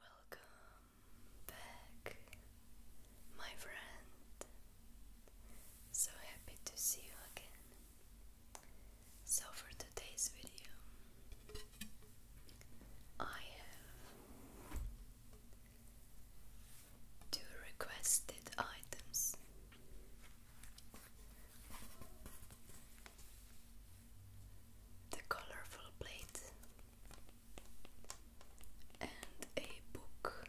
Welcome back, my friend. So happy to see you again. So, for today's video, I have two requested items. The colorful plate and a book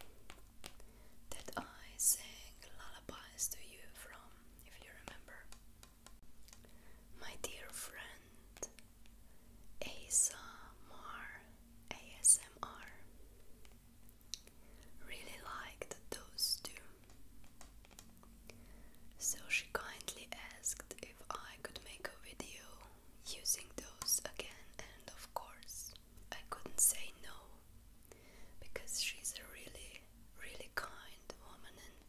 that I sang lullabies to you from, if you remember. My dear friend ASMR ASMR really liked those two. So she kindly asked if I could make a video using those again, and of course, I couldn't say no because she's a really, really kind woman. And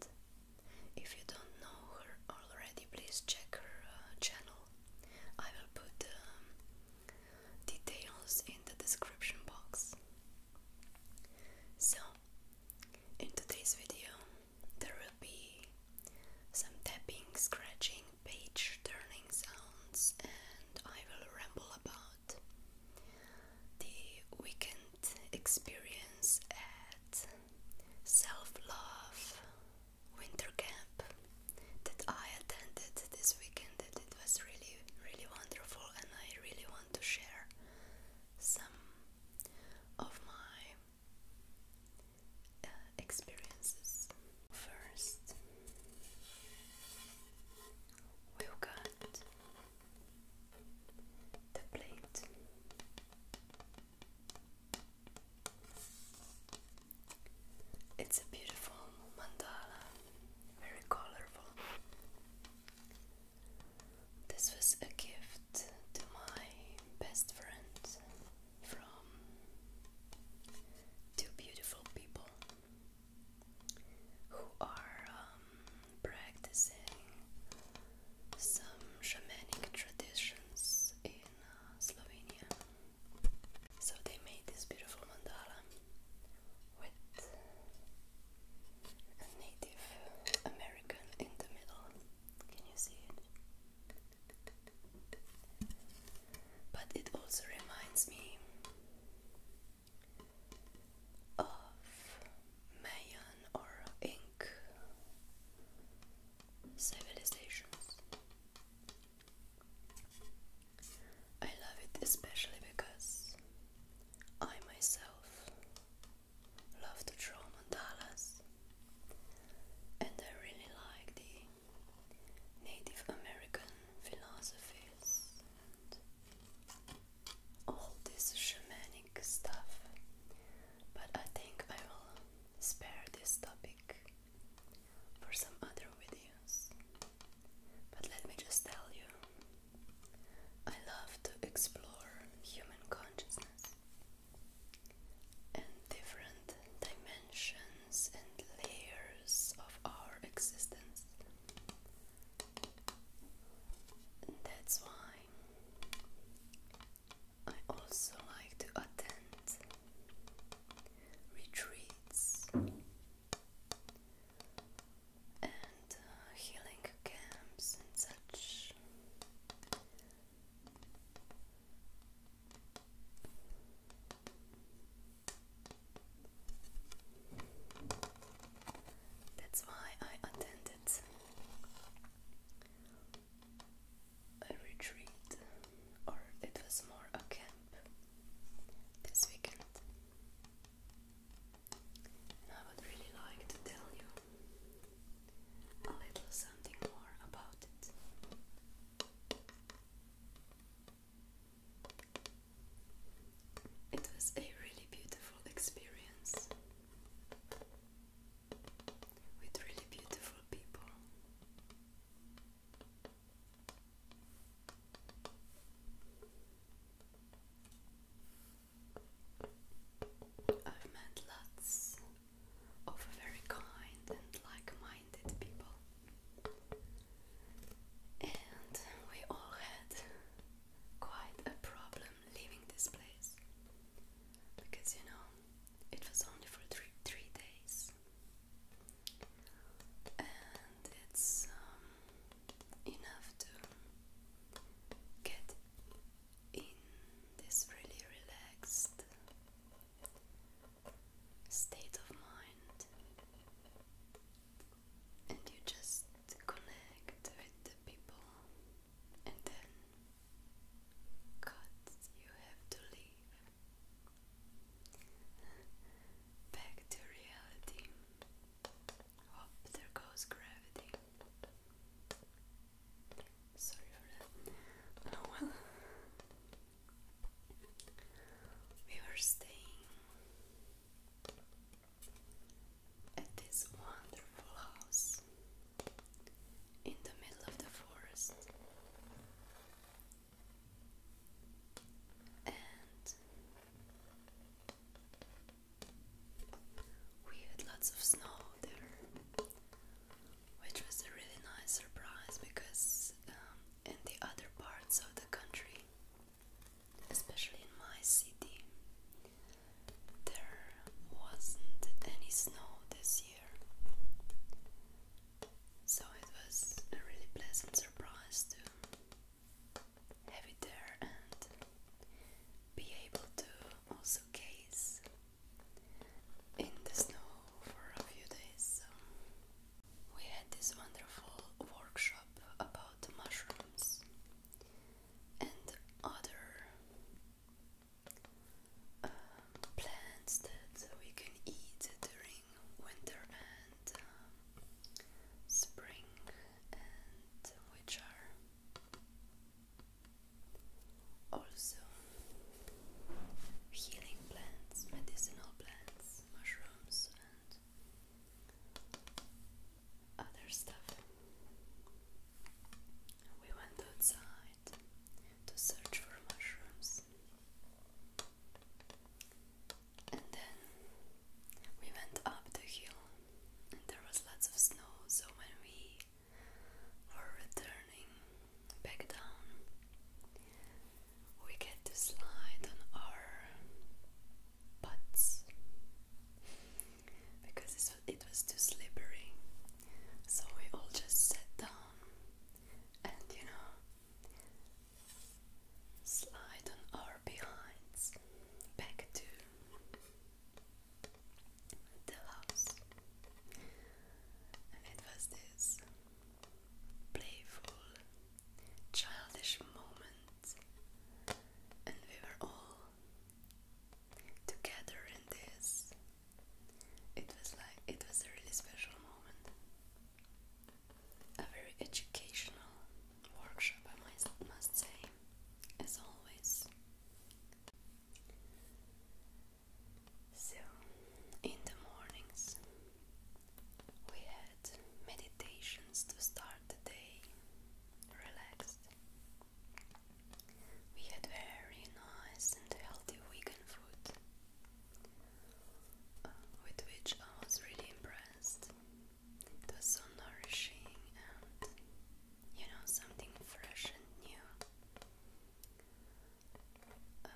if you don't know her already, please check her uh, channel. I will put um, details in the description box. So, in today's video, there will be some tapping, scratching, page turning sounds, and I will ramble about the weekend experience at Self Love Winter Camp that I attended this weekend, and it was really, really wonderful, and I really want to share some of my uh, experiences. First, got the plate. It's a beautiful mandala, very colorful. This was a gift to my best friend from two beautiful people who are um, practicing some shamanic traditions in uh, Slovenia. So they made this beautiful mandala with a Native American in the middle. Can you see it? But it also reminds me of Mayan or Inc. civilizations. I love it especially because I myself love to draw mandalas, and I really like the Native American philosophies and all this shamanic stuff, but I think I will spare this topic for some other videos. But let me just tell you, I love to explore human consciousness and different dimensions and layers of our existence. that's why I also like to attend retreats and uh, healing camps and such that's why I attended a retreat, or it was more a camp this weekend. I would really like to tell you a little something more about it. It was a really beautiful experience with really beautiful people. I've met lots of very kind and like-minded people, and we all had quite a problem leaving this place because you know it was only for three three days, and it's um, enough to get in this really relaxed state of mind and you just connect with the people and then God you have to leave back to reality. Up there goes gravity. Oh, well, we were staying at this wonderful house in the middle of the forest. And we had lots of snow there which was a really nice surprise because um, in the other parts of the country, especially in my city, there wasn't any snow this year. So it was a really pleasant surprise to have it there and be able to also gaze in the snow for a few days. we had this wonderful workshop about mushrooms and other uh, plants that we can eat during winter and uh, spring, and which are also, healing plants, medicinal plants, mushrooms, and other stuff. We went outside to search for mushrooms, and then we went up the hill, and there was lots of snow. So, when we or returning back down, we get to slide on our butts because it was too slippery. So we all just sat down and you know slide on our behinds back to it was this playful, childish moment, and we were all together in this. It was like it was a really special moment. A very educational workshop, I must, must say, as always. So, in the mornings, we had meditations to start the day relaxed. We had very nice and healthy vegan food, uh, with which I was really impressed. It was so nourishing and you know, something fresh and new. Um,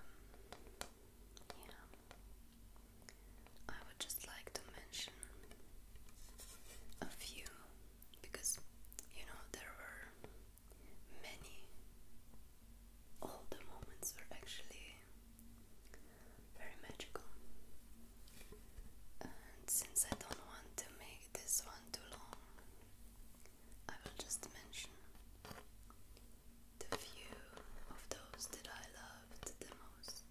yeah, I would just like to mention a few because you know there were many. All the moments were actually very magical, and since I don't want to make this one too long, I will just mention the few of those that I loved the most.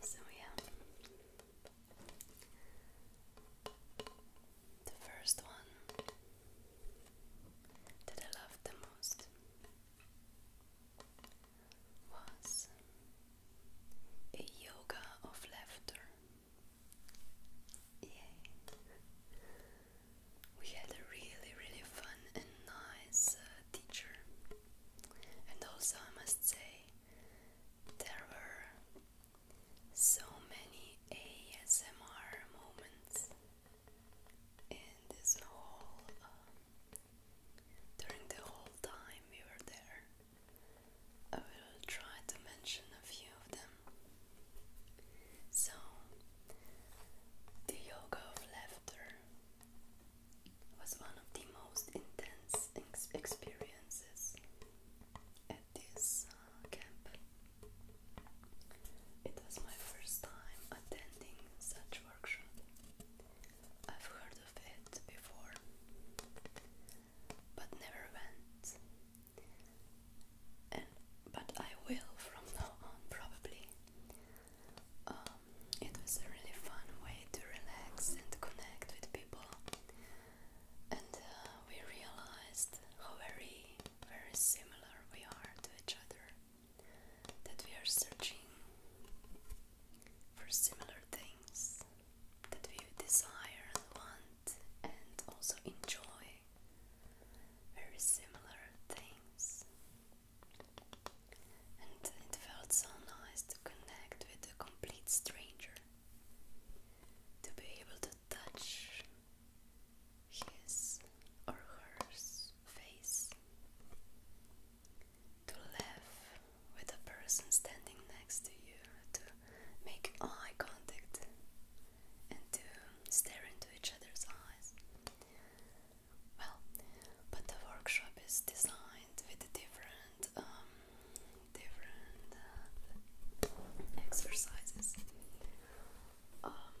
So, yeah, the first one that I loved the most was a yoga of laughter. Yay! We had a really, really fun and nice uh, teacher, and also I must say, there were so many ASMR moments in this whole uh, during the whole time we were there, I will try to mention a few of them. So, the yoga of laughter was one of the most intense experiences at this uh, camp. It was my first time attending such workshop. I've heard it before, but never went. And but I will from now on probably. Um, it was a really fun way to relax and connect with people, and uh, we realized how very, very similar we are to each other that we are searching for similar things that we desire and want and also enjoy very similar things. And it felt so nice to connect with a complete stranger, to be able to touch his or her face to laugh with the person standing next to you, to make eye contact and to stare into each other's eyes. Well, but the workshop is designed with different, um, different uh, exercises. Um,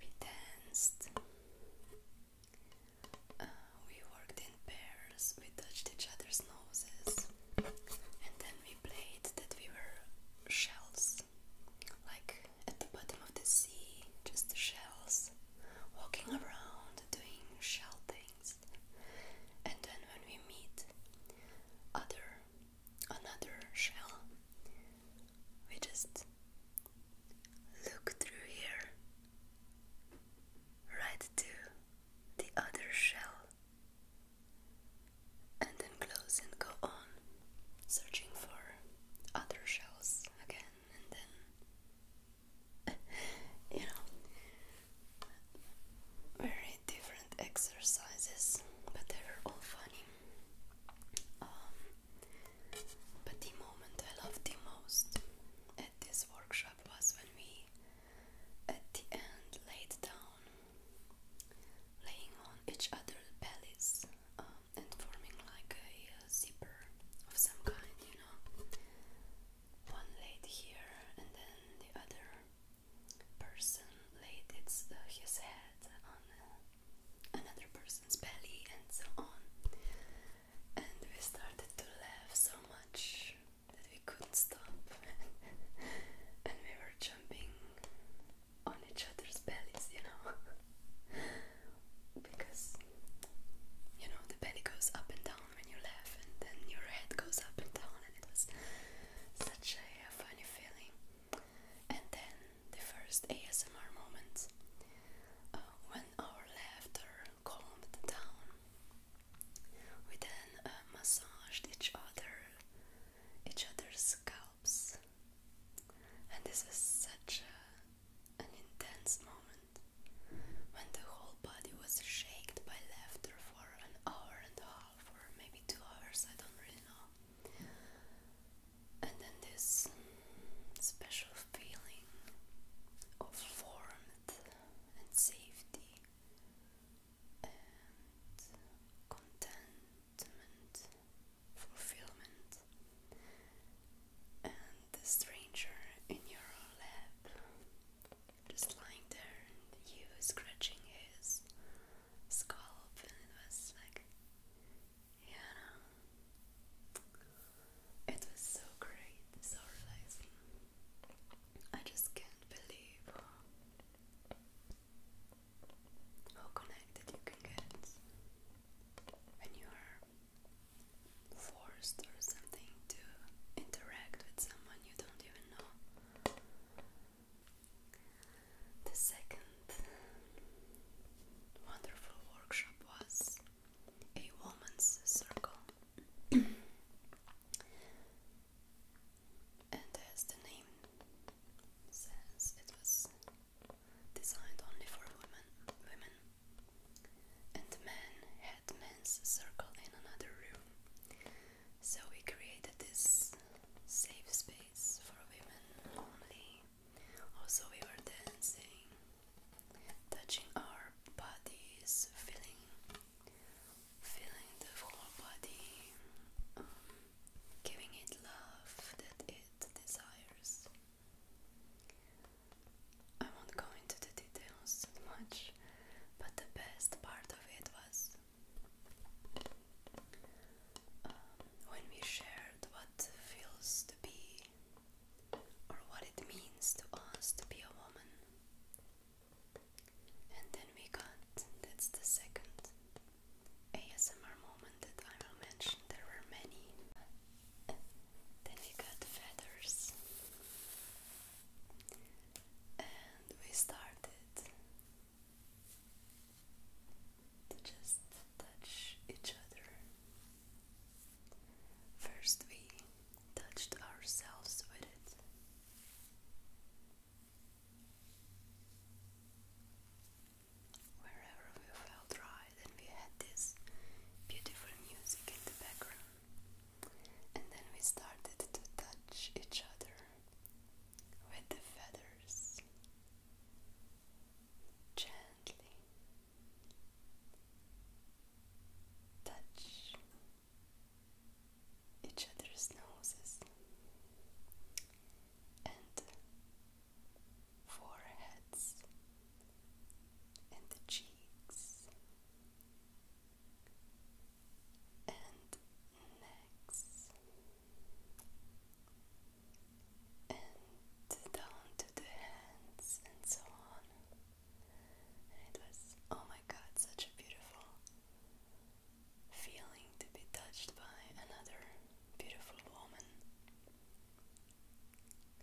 we danced we worked in pairs, we touched each other's noses, and then we played that we were shells, like at the bottom of the sea, just shells, walking around doing shell things. And then when we meet other another shell, we just Look through here, right to the other shell, and then close and go on, searching for other shells again, and then you know, very different exercises, but they were all funny. Um, but the moment I loved the most at this workshop was when we, at the end, laid down, laying on each other's bellies um, and forming like a, zipper of some kind, you know. One laid here and then the other person laid its, uh, his head on uh, another person's belly and so on and we started to laugh so much that we couldn't stop, and we were jumping on each other's bellies, you know, because you know the belly goes up and down when you laugh, and then your head goes up and down, and it was such a funny feeling. And then the first ASMR moment uh, when our laughter calmed down. We then uh, massaged each other, each other's scalps, and this is such a, an intense moment when the whole body was shaken by laughter for an hour and a half, or maybe two hours. I don't really know and then this special feeling of warmth and safety and contentment, fulfillment, and the stranger in your lap just lying there and you scratching his scalp and it was like Hannah. It was so great, so relaxing. I just can't believe how connected you can get when you are forced or something to interact with someone you don't even know. The second wonderful workshop was a woman's circle and as the name says it was designed only for women women and men had men's circle in another room so we created this safe space for women only also we were dancing touching our bodies, feeling, feeling the whole body, um, giving it love that it desires. I won't go into the details too much, but the best part of it was um, when we shared what feels to be or what it means to us to be a woman. And then we got that's the second ASMR moment that I will mention. There were many. Then we got feathers, and we started to just touch each other. First, we touched ourselves with it. Wherever we felt right, and we had this beautiful music in the background, and then we started to touch each other with the feathers gently touch each other's noses and foreheads and the cheeks and necks and down to the hands and so on. it was, oh my god, such a beautiful feeling to be touched by another beautiful woman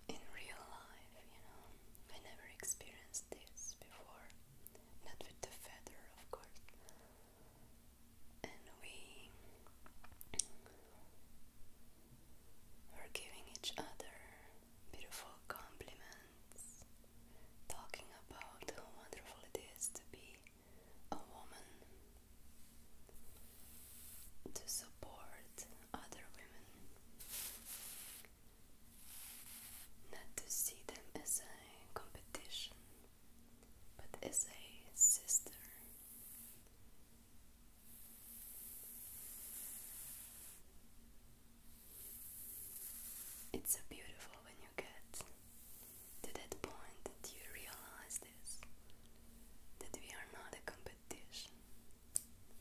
in real life, you know. I never experienced this before, not with the feather, of course. And we we're giving each other beautiful compliments, talking about how wonderful it is to be a woman, to support other women, not to see them as a competition, but as a sister it's so beautiful when you get to that point that you realize this that we are not a competition.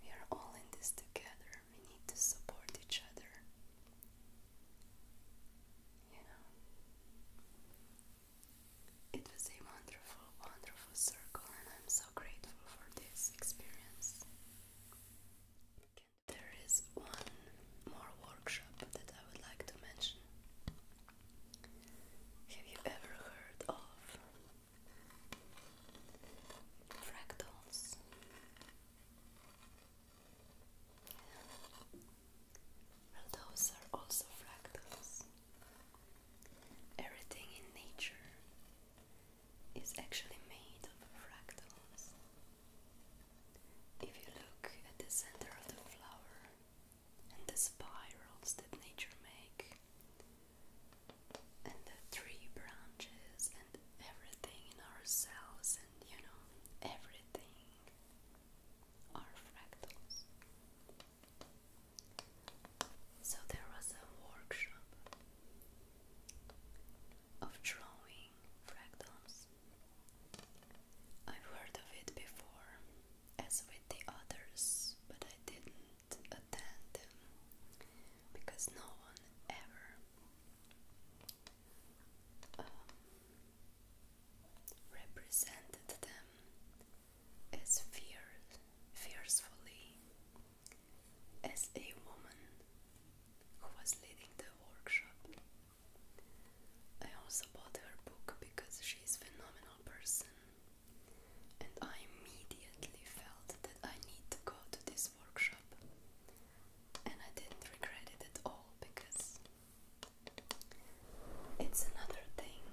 We are all in this together. We need to support each other. You know, it was a wonderful, wonderful circle, and I'm so grateful for this experience. There is one more workshop that I would like to mention. Have you ever heard of fractals? Well, those are also fractals. Everything in nature is actually made of fractals. If you look at the center of the flower and the spirals that nature make and the tree branches and everything in ourselves and you know everything are fractals. So there was a workshop of drawing fractals. I've heard of it before, as with the others, but I didn't attend them because no one ever um, represented them as fear, fiercely as a woman who was leading the workshop. I also bought her book because she is a phenomenal person, and I immediately felt that I need to go to this workshop, and I didn't regret it at all because it's another thing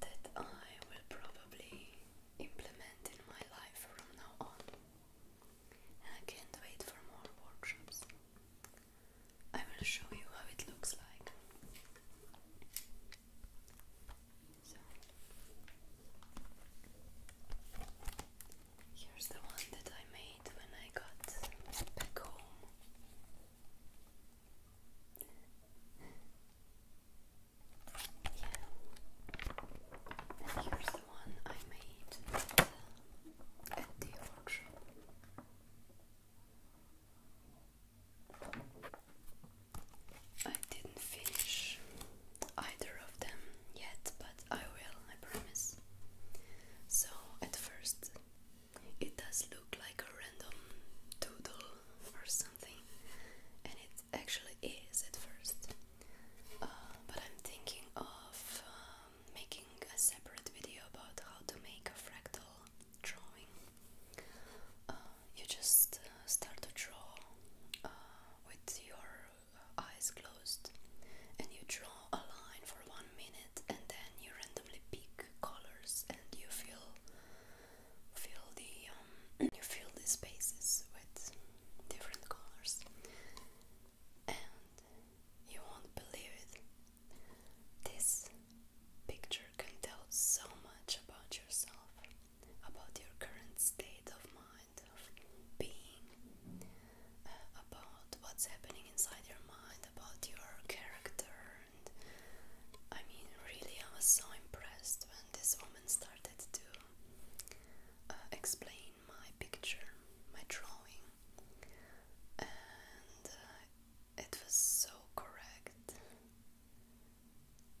that I will probably implement in my life from now on. I can't wait for more workshops. I will show you how it looks like. So, here's the one that I made when I got back home. Yeah. And here's the one I made at, uh, at the I didn't finish either of them yet, but I will, I promise. So, at first, it does look like a random doodle or something, and it actually is at first. Uh, but I'm thinking of um, making a separate video about how to make a fractal drawing. Uh, you just uh, start to draw with your eyes closed, and you draw a line for one minute, and then you randomly pick colors and you feel feel the um, you feel the spaces with different colors and you won't believe it this picture can tell so much about yourself about your current state of mind of being uh, about what's happening inside your mind about your character I mean, really, I was so impressed when this woman started to uh, explain my picture, my drawing, and uh, it was so correct.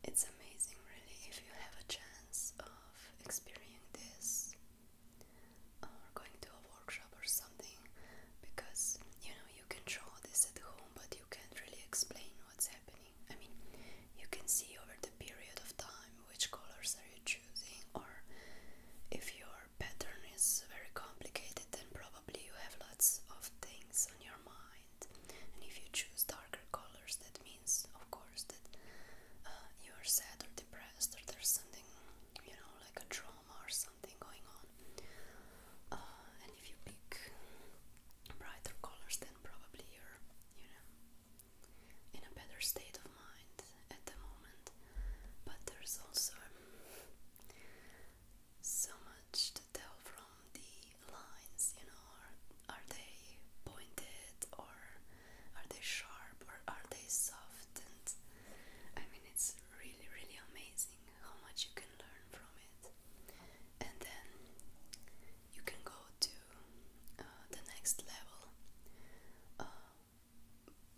It's amazing, really, if you have a chance of experiencing this or going to a workshop or something because you know you you can draw this at home, but you can't really explain what's happening. I mean, you can see over the period of time which colors are you choosing, or if your pattern is very complicated, then probably you have lots of things on your mind. And if you choose darker colors, that means, of course, that uh, you are sad or depressed, or there's something, you know, like a trauma or something going on. Uh, and if you pick brighter colors, then probably you're, you know, in a better state of mind at the moment. But there's also so much to tell from the lines, you know, are, are they pointed or are they sharp or are they soft? And I mean, it's really, really amazing how much you can learn from it, and then you can go to uh, the next level uh,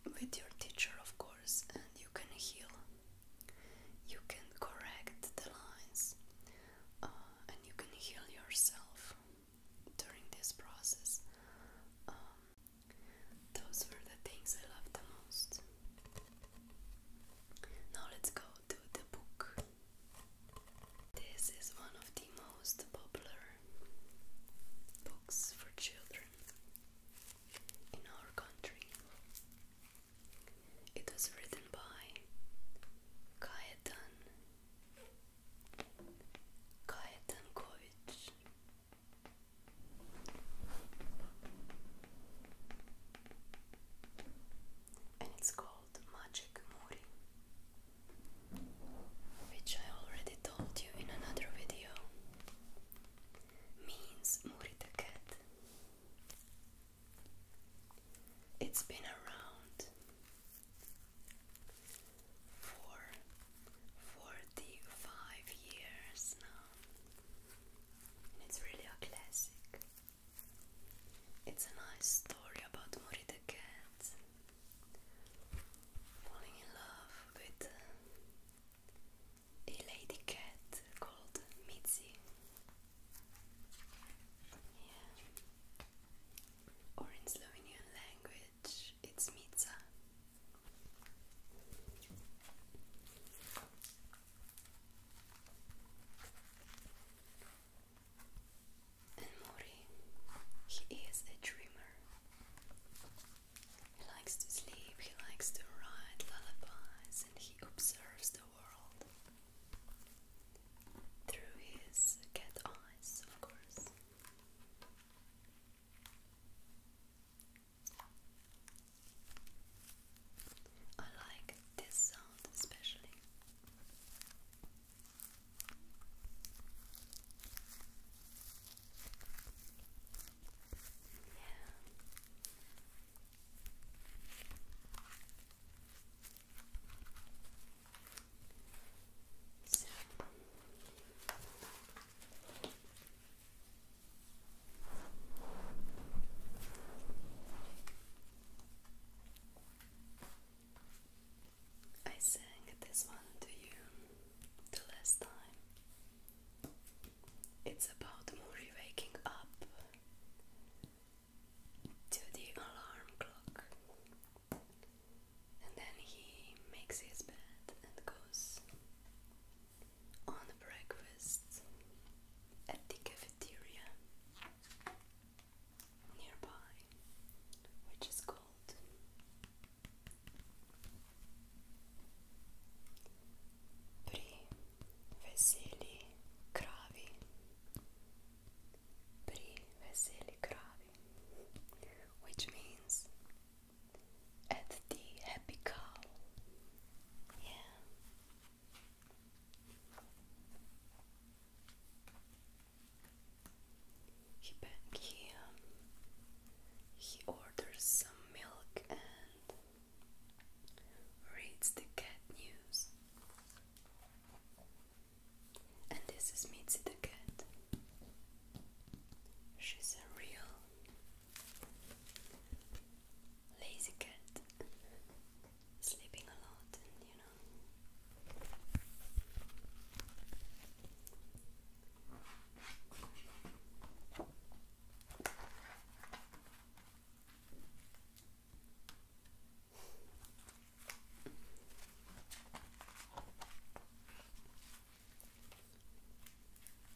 with your teacher, of course, and you can heal, you can correct the lines, uh, and you can heal yourself during this process. Um, those were the things I love the most. Now let's go to the book. This is one of the most popular books for children in our country. It was written by Kajetan Kajetankovic and it's called Magic Muri, which I already told you in another video, means Muri the cat. It's been around for 45 years now it's really a classic. It's a nice story about Mori the cat falling in love with uh, a lady cat called Mitzi. Yeah. Or in Slovenian language, it's Mica. And Mori, he is a dreamer. He likes to sleep, he likes to write lullabies, and he observes the world through his cat eyes, of course. I like this sound especially. Yeah. So. I sang this one to you the last time. It's about Muri waking up to the alarm clock, and then he makes his bed and goes on breakfast at the cafeteria nearby, which is called Pri veseli kravi. Pri veseli kravi, which means at the happy cow. Yeah. He back here. He orders some milk and reads the cat news. And this is Mitzi the cat. She's a real Lazy cat sleeping a lot, and you know.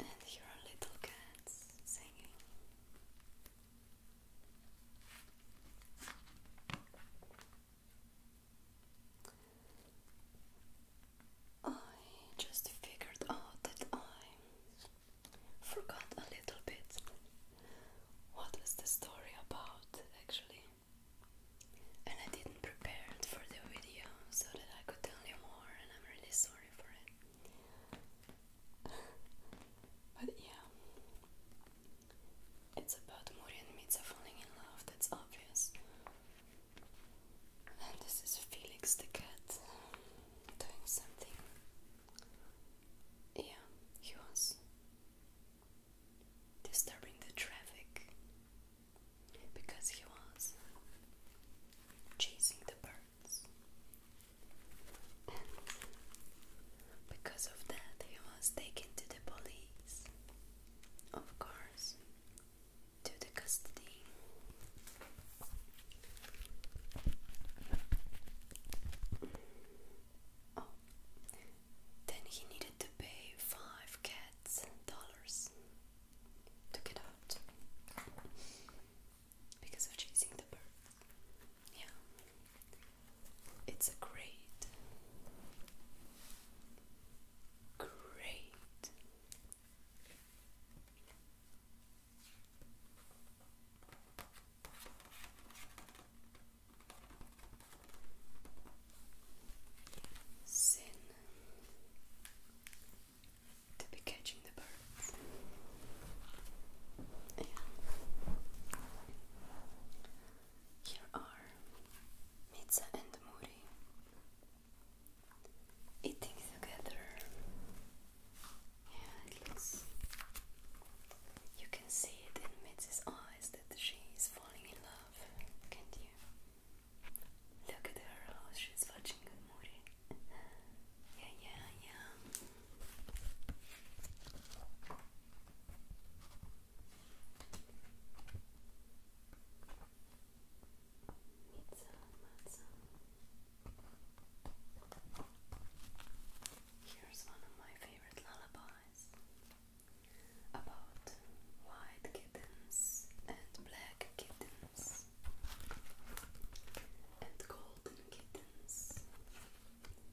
And here are little cats singing. I just figured out that I forgot a little bit what was the story about actually, and I didn't prepare for the video so that I could tell you more, and I'm really sorry for it but yeah, it's about Muri and Mitsa falling in love, that's obvious. And this is Felix the cat doing something. Yeah, he was disturbing the traffic because he was chasing the bird because of that, he was taken to the police, of course, to the custody. Oh, then he needed to pay five cats dollars to get out because of chasing the birds. Yeah, it's a great, great sin to be catching the birds. Here are Mitsa and Muri eating together. Yeah, it looks. You can see it in Mitsa's eyes that she is falling in love, can't you? Look at her, how she's watching Muri. Yeah, yeah, yeah. Need some, not some. Here's one of my favorite lullabies about white kittens and black black kittens and golden kittens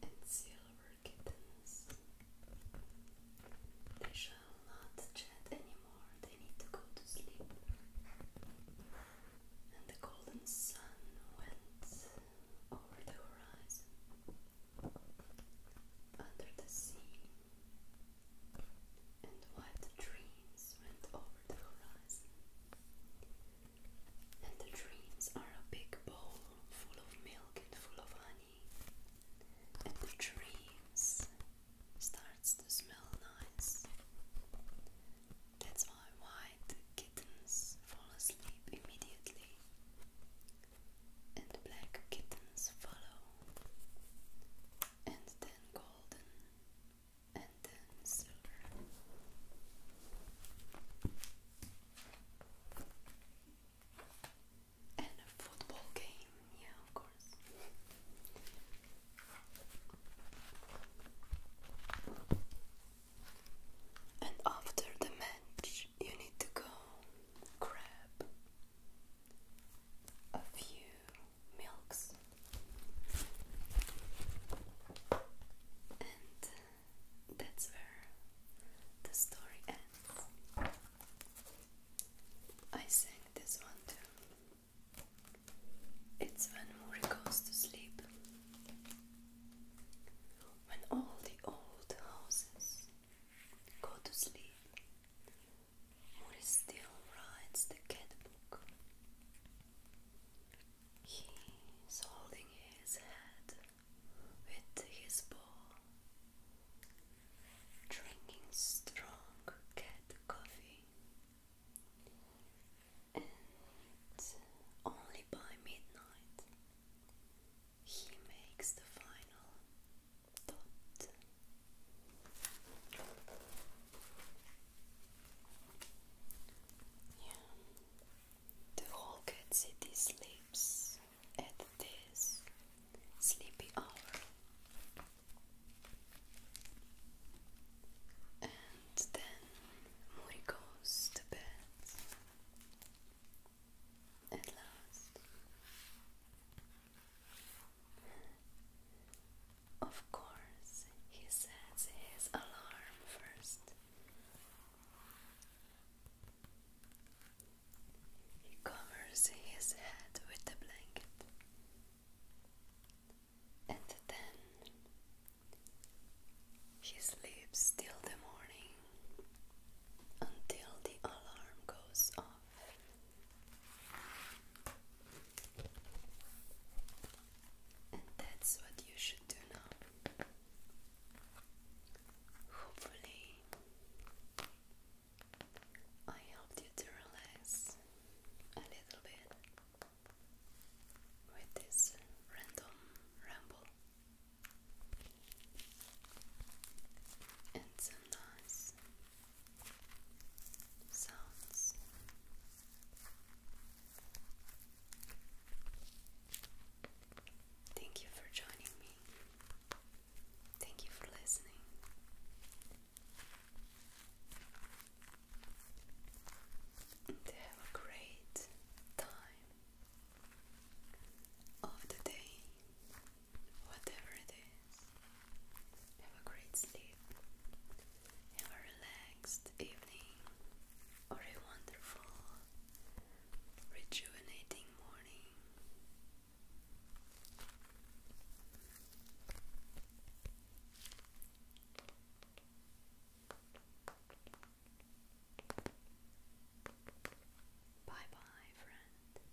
and silver kittens. They shall not chat anymore, they need to go to sleep. And the golden sun went over the horizon, under the sea, and white dreams dreams over the horizon. And the dreams are a big bowl full of milk and full of honey. And the dreams starts to smell nice. That's why white kittens fall asleep immediately. And black kittens follow. And then golden and then silver. And a football game, yeah, of course. And after the match, you need to go grab a few milks and uh, that's where the story ends. I sang this one too. It's when Muri goes to sleep. When all the old houses go to sleep, Muri still writes the cat book. He's holding his head with his paw, drinking strong cat coffee, and only by midnight he makes the final thought. The whole city sleeps at this sleepy hour. And then Muri goes to bed at last. Of course, he sets his alarm first. He covers his head with the blanket and then he sleeps till the morning until the alarm goes off. And that's what you should do now. Hopefully, I helped you to relax a little bit with this random ramble and some nice sounds. Thank you for joining me. Thank you for listening. have a great time of the day, whatever it is. Have a great sleep. Have a relaxed evening or a wonderful, rejuvenating morning. Bye bye, friend.